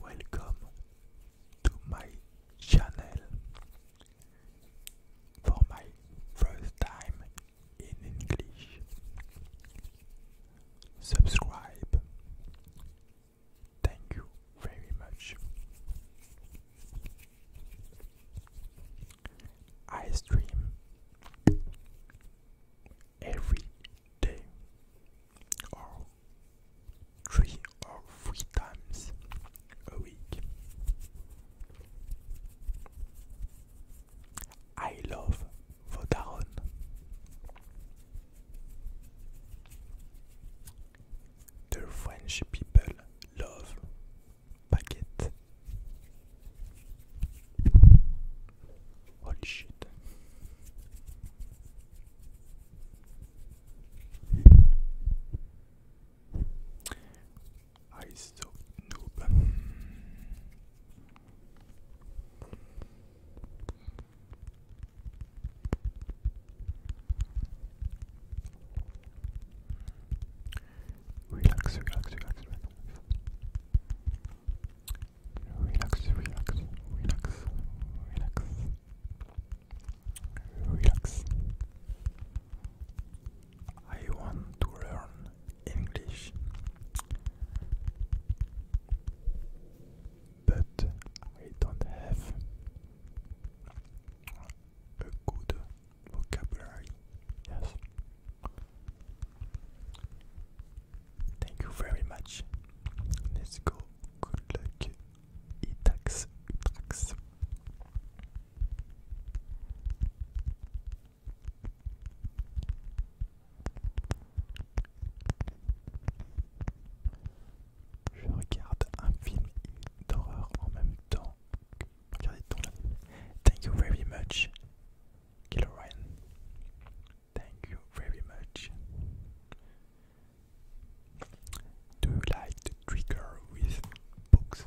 Welcome to my channel. For my first time in English, subscribe. Thank you very much. I stream every day or three or three times a week. I love Vodaron. The French people love baguette. Holy shit. I so noob. Relax, relax, relax, relax. Relax, relax, relax, relax. Relax. I want to learn English, but I don't have a good vocabulary. Yes. Thank you very much. Let's go. Good luck. Itax. Utax. Je regarde un film d'horreur en même temps. Regardez ton Thank you very much. Killer Ryan. Thank you very much. Do you like trigger with books?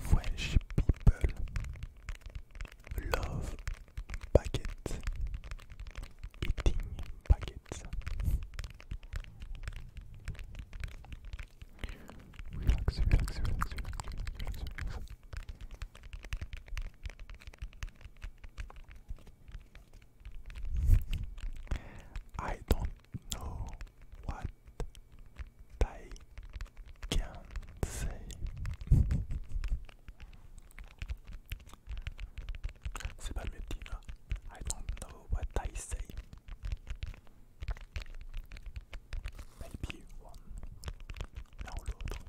French people love baguettes, eating baguettes. Relax, relax, relax, relax, relax, relax. I don't know what I can say. C'est pas le même là. Hein. I don't know what I say. Maybe one. L'un l'autre.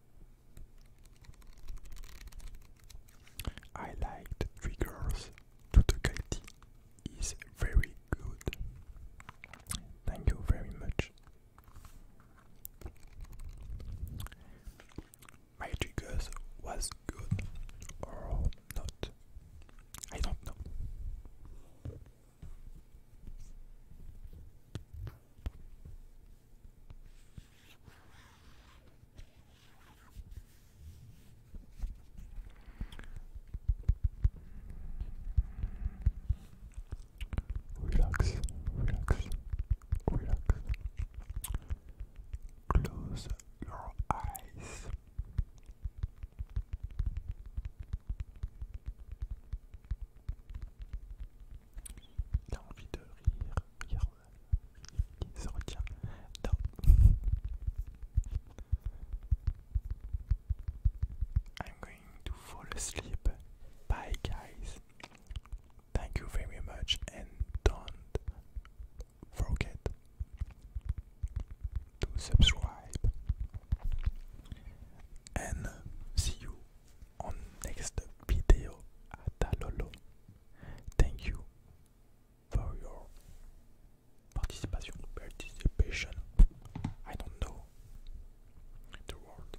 I liked Triggers the quality is very good. Thank you very much. My was good or not. I don't know. Relax, relax, relax. Close your eyes. I'm going to fall asleep. Bye guys. Thank you very much and don't forget to subscribe and see you on next video at Lolo. Thank you for your participation. Participation. I don't know the word.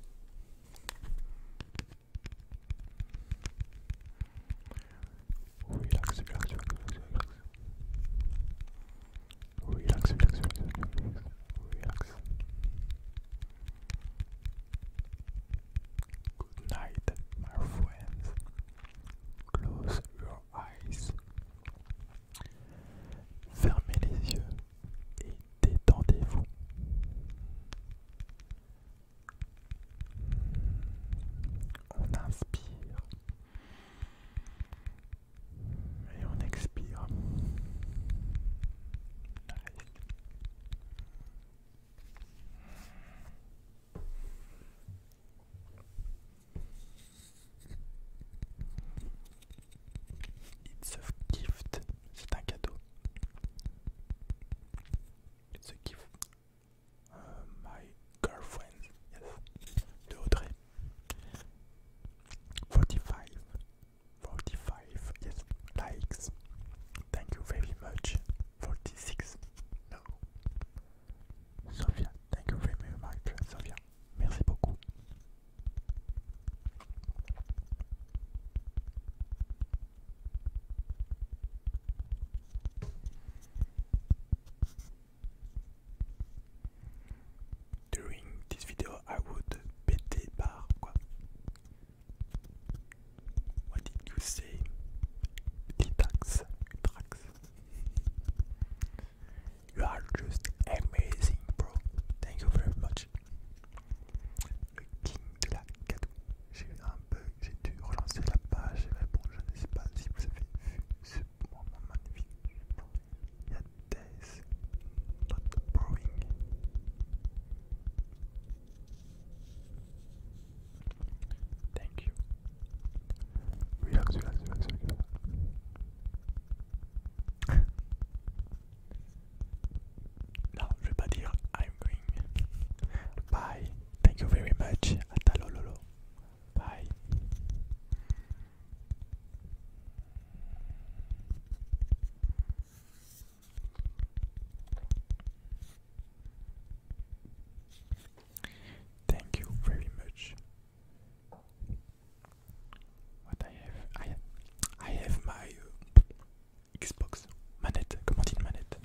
Relax, relax, relax, relax. Relax, relax, relax, relax, relax. relax. Good night, my friends. Close your eyes. Fermez les yeux et détendez-vous. On inspire et on expire. It's a gift, c'est un cadeau. It's a gift. Euh, my girlfriend, yes. De Audrey. 45 45 yes likes thank you very much 46 no Sophia thank you very much Sophia merci beaucoup during this video I would péter par quoi what did you say? Litax, Litax. You are just amazing, bro. Thank you very much. Le king de la cadeau. J'ai un bug, j'ai dû relancer la page. Mais bon, je ne sais pas si vous avez vu days not brewing. Thank you. Relax, relax, relax, relax. everybody, I'm going. Bye. Thank you very much. Atalololo. Bye. Thank you very much. What I have, I have, my uh, Xbox manette. Comment une manette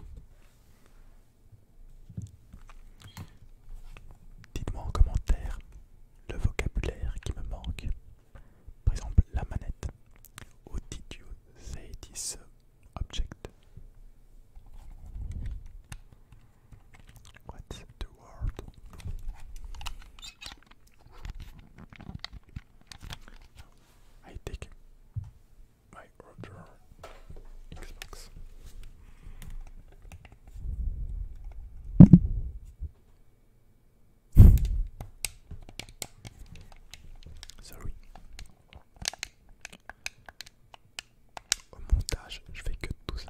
Dites-moi en commentaire le vocabulaire qui me manque par exemple, la manette. How did you say this object? What's the word? I take my order. Xbox. Au montage, je fais que tout ça,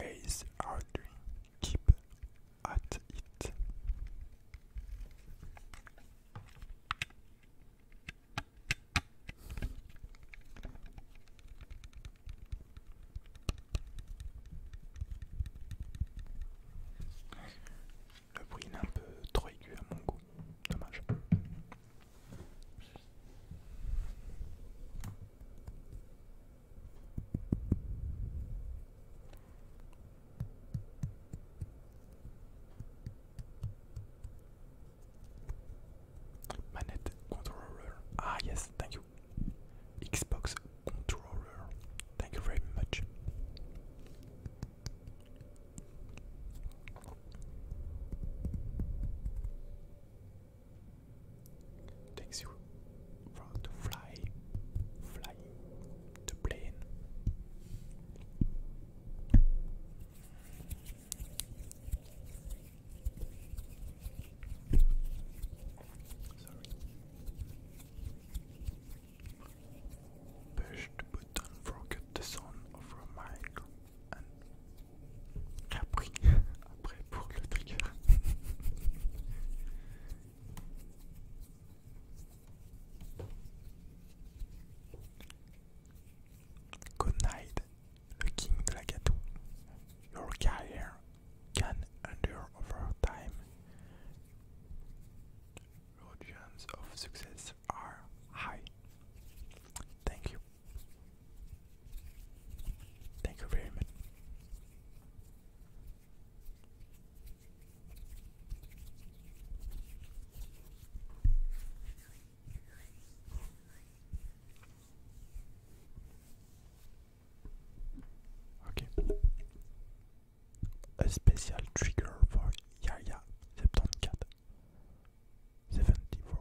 Ace Audrey keep at it. Le bruit est un peu trop aigu à mon goût, dommage. Manette controller. Ah yes, thank you. Xbox controller. Thank you very much. Takes you from the fly, flying the plane. Sorry. button, forget the sound of your mind, and Capri. Good night, le king de la gâteau. Your career can endure over time. Your of success are high. Thank you. Thank you very much. Okay. A special trigger for Yaya 74 74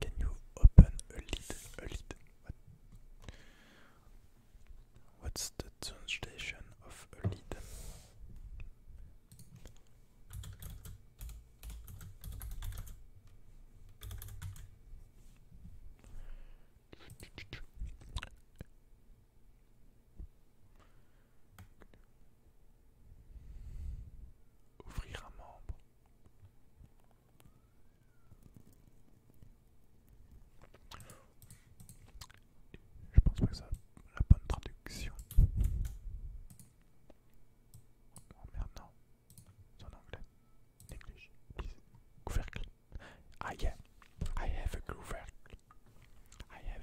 can you open a lid? A lid? What's the translation of a lid? Ouvrir un membre. Je pense pas que ça la bonne traduction. Oh merde non, c'est en anglais. Néglige, couvercle. I get. I have a groove rack. I have.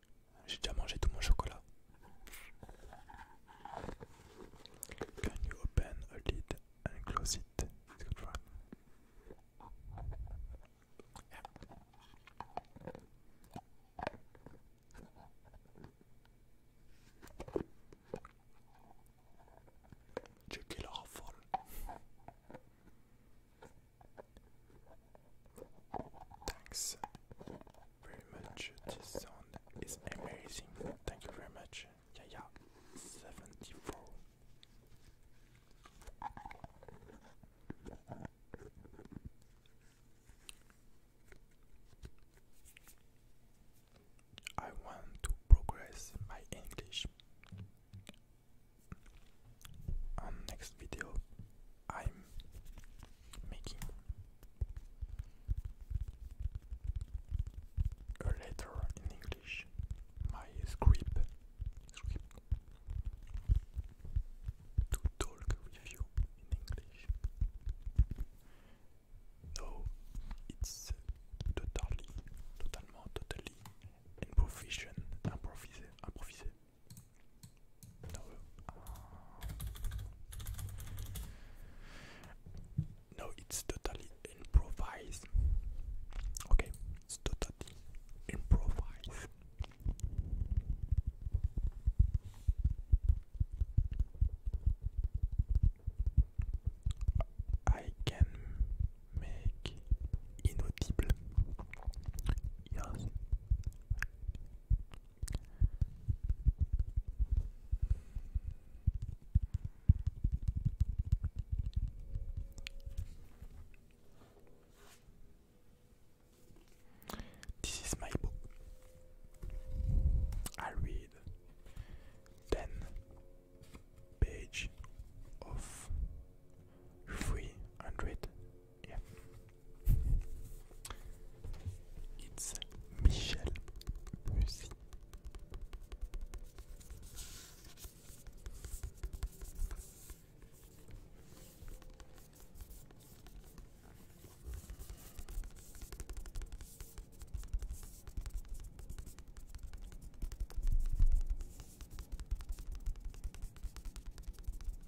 J'ai déjà mangé tout mon chocolat. Can you open a lid and close it? It's Check it off. Thanks very much. This sound is amazing. Thank you very much. Yeah, yeah. 74. I want to progress my English on next video I'm making a letter in English, my script, script to talk with you in English. No, it's totally, totalement, totally improvisation, improvisé, improvisé. No, no, it's totally improvised. Okay, totally improvised. I can make inaudible. This is my book. I read ten page of three hundred it's Michel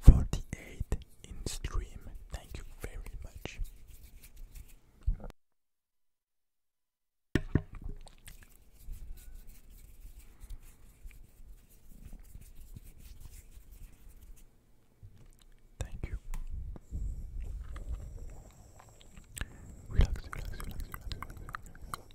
48 in stream. Thank you very much. Thank you. Relax, relax, relax, relax,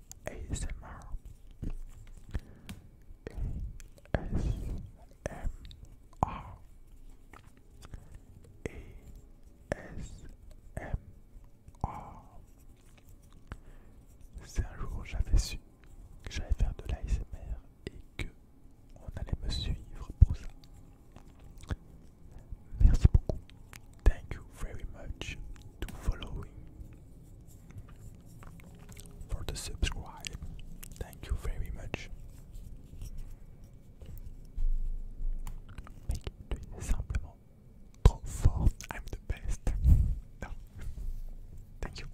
ASMR. ASMR. ASMR. un jour où j'avais su que j'allais faire de l'ASMR et que on allait me suivre pour ça, Thank you very much to following. For the subscribe. Thank you very much. Mec, tu es I'm the best. no. Thank you.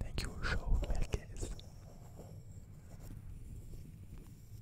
Thank you, Joe Merguez.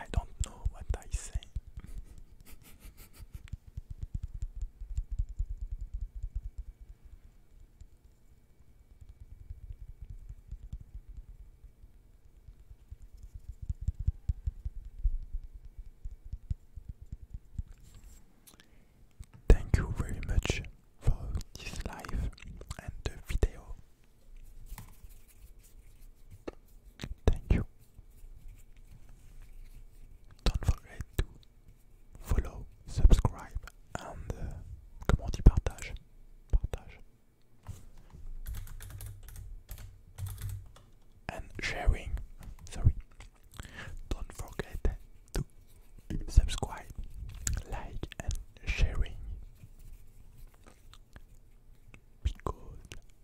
I don't know what I say. Thank you very much for this live and the video. Thank you. Don't forget to follow, subscribe and uh, comment, partage. Partage and sharing. Sorry. Don't forget to subscribe, like, and sharing because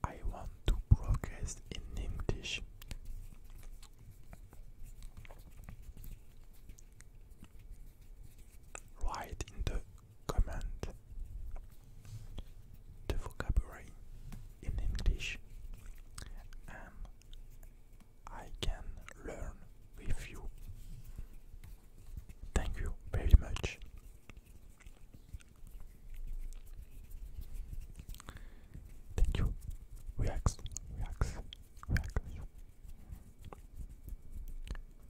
I want to progress in English. Right in the Comment the vocabulary in English and I can learn with you. Thank you very much. Thank you. Relax, relax, relax.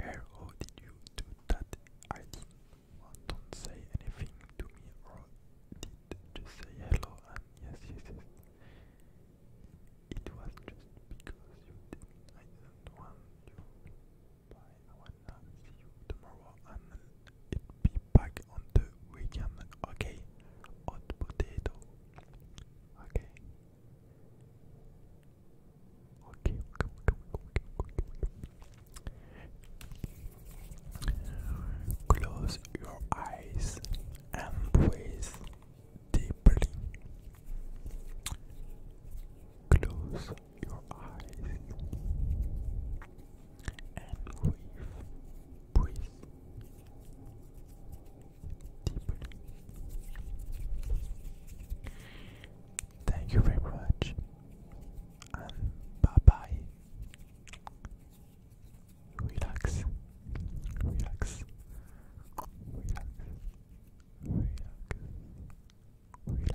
How did you do that? I didn't want to say anything to me or did just say hello and yes, yes, It was just because you didn't. I didn't want you. Bye. I wanna see you tomorrow and it be back on the weekend. Okay, hot potato. Okay. Okay, okay, okay, okay, okay, okay. Close your eyes and breathe deeply. Close your eyes and breathe Breathe deeply. Thank you very much, and bye bye. Relax, relax, relax, relax, relax.